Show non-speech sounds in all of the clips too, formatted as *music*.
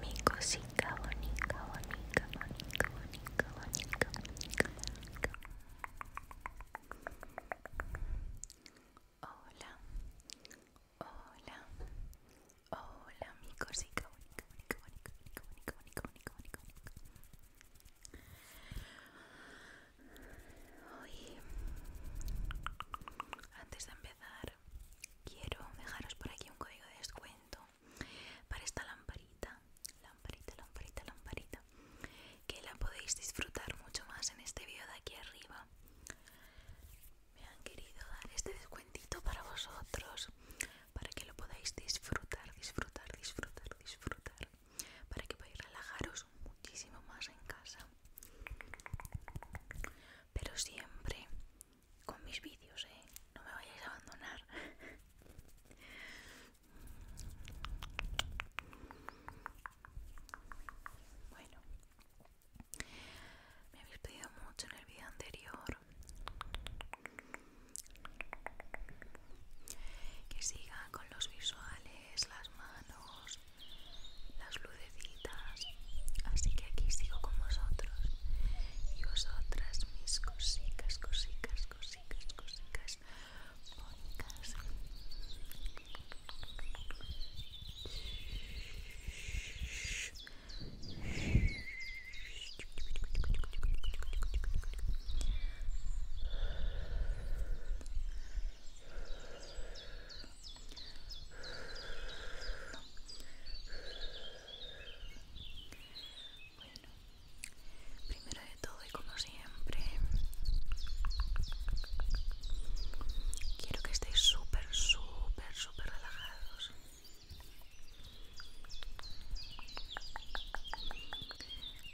Mi cosita bonica, bonita, bonica, bonita, bonica, bonica, Hola, hola, hola, mi cosita bonita, bonica, bonica, bonica, bonica, bonica, bonica. antes de empezar, quiero dejaros por aquí un código de descuento para esta lamparita lamparita lamparita lamparita que la podéis disfrutar mucho más en este vídeo de aquí arriba me han querido dar este descuentito para vosotros para que lo podáis disfrutar disfrutar disfrutar disfrutar para que podáis relajaros muchísimo más en casa pero siempre con mis vídeos, ¿eh? No me vayáis a abandonar. bueno, me habéis pedido mucho en el vídeo anterior que siga con los visuales, las manos, las luces así que aquí sigo con vosotros y vosotras mis cosicas, cosicas, cosicas, cosicas bonitas bueno, primero de todo y como siempre, quiero que estéis súper, súper, súper relajados.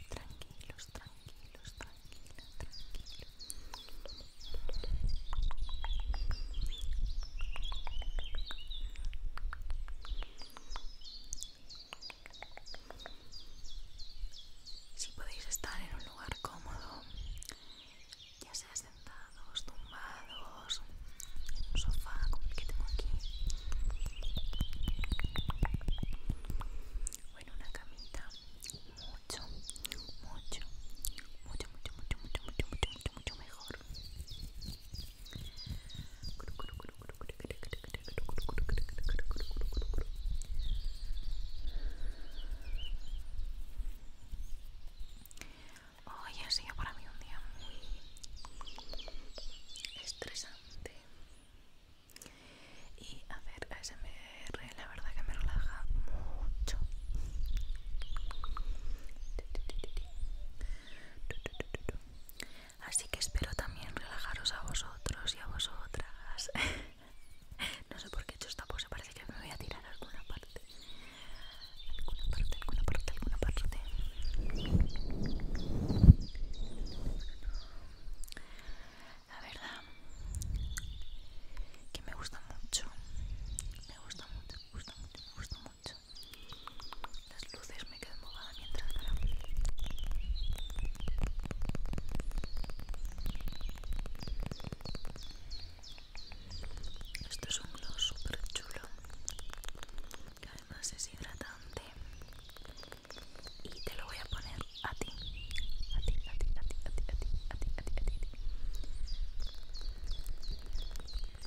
Tranquilos, tranquilos, tranquilos, tranquilos. Si podéis estar en un lugar cómodo, ya sea sentados, tumbados, en un sofá como el que tengo aquí, o en una camita, mucho, mucho, mucho, mucho, mucho, mucho, mucho, mucho, mucho, mucho mejor. Hoy ha sido para mí un día muy estresante y hacer ASMR la verdad que me relaja mucho. Así que espero también relajaros a vosotros y a vosotras. *laughs* no sé por qué he hecho esta pose, parece que me voy a tirar a alguna parte. Alguna parte, alguna parte, alguna parte. La verdad que me gusta mucho. Me gusta mucho, me gusta mucho, me gusta mucho. Las luces me quedan bobada mientras grabo. Esto es un gloss súper chulo que además es hidratante y te lo voy a poner a ti, a ti, a ti, a ti, a ti, a ti, a ti, a ti, a ti.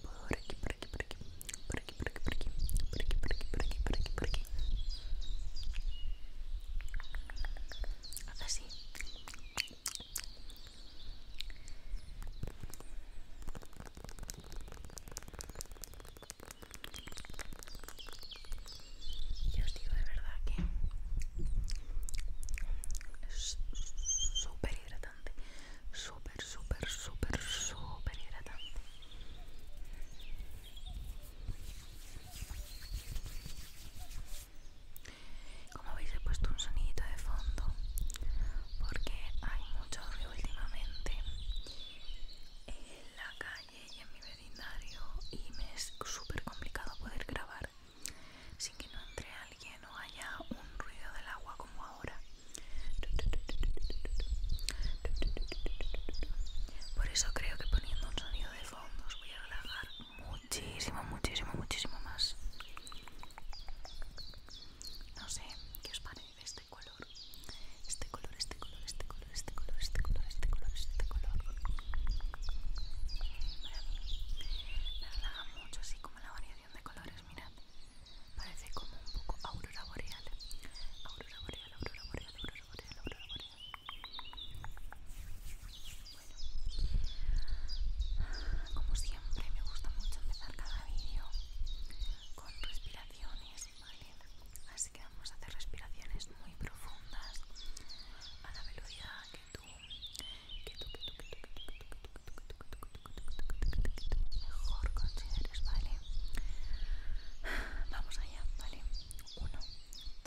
Por aquí, por aquí, por aquí, por aquí, por aquí, por aquí, por aquí, por aquí, por aquí, por aquí, por aquí. Así. Yo os digo de verdad que es súper hidratante súper, súper, súper, súper hidratante. Como veis he puesto un sonidito de fondo porque hay mucho ruido últimamente en la calle y en mi vecindario y me es súper complicado poder grabar sin que no entre alguien que no haya un ruido del agua como ahora. Por eso creo que poniendo un sonido de fondo os voy a relajar muchísimo, muchísimo, muchísimo más. No sé qué os parece este color. Este color, este color, este color, este color, este color, este color, este color. me relaja mucho así como la variación de colores, mirad. Parece como un poco aurora boreal. Aurora boreal, aurora boreal, aurora boreal, aurora boreal. Bueno, como siempre me gusta mucho empezar cada vídeo con respiraciones, ¿vale? Así que vamos a hacer respiraciones muy profundas a la velocidad que tú mejor consideres, ¿vale? Vamos allá, ¿vale? Uno,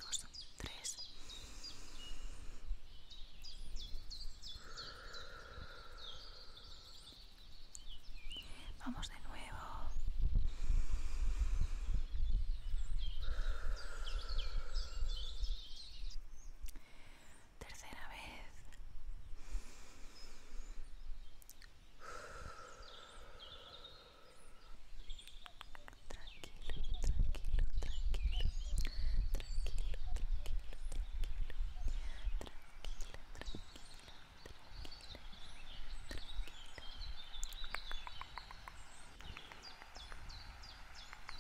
dos, tres. Vamos de nuevo tercera vez. Tranquilo, tranquilo, tranquilo. Tranquilo, tranquilo, tranquilo.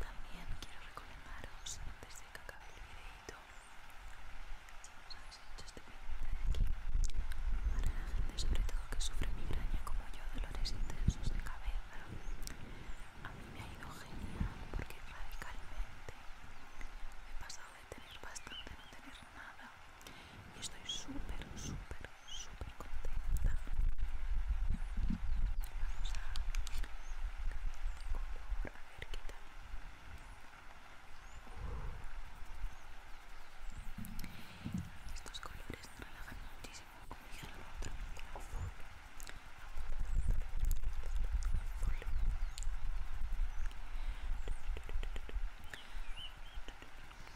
También quiero recomendaros, antes de que acabe el videito, si este de aquí, para la gente sobre todo que sufre migraña como yo, dolores intensos de cabeza, a mí me ha ido genial porque radicalmente he pasado de tener bastante a no tener nada y estoy súper, súper súper contenta vamos a cambiar de color a ver qué tal estos colores me relajan muchísimo comienzo el otro azul azul azul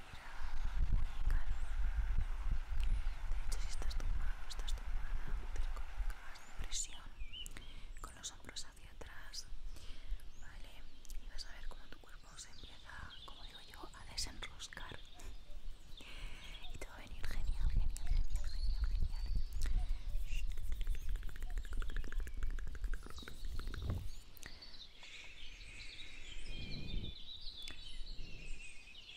muy calma. De hecho, si estás tumbado, estás tumbada, te en presión con los hombros hacia atrás, ¿vale? Y vas a ver cómo tu cuerpo se empieza, como digo yo, a desenroscar. Y te va a venir genial, genial, genial, genial, genial.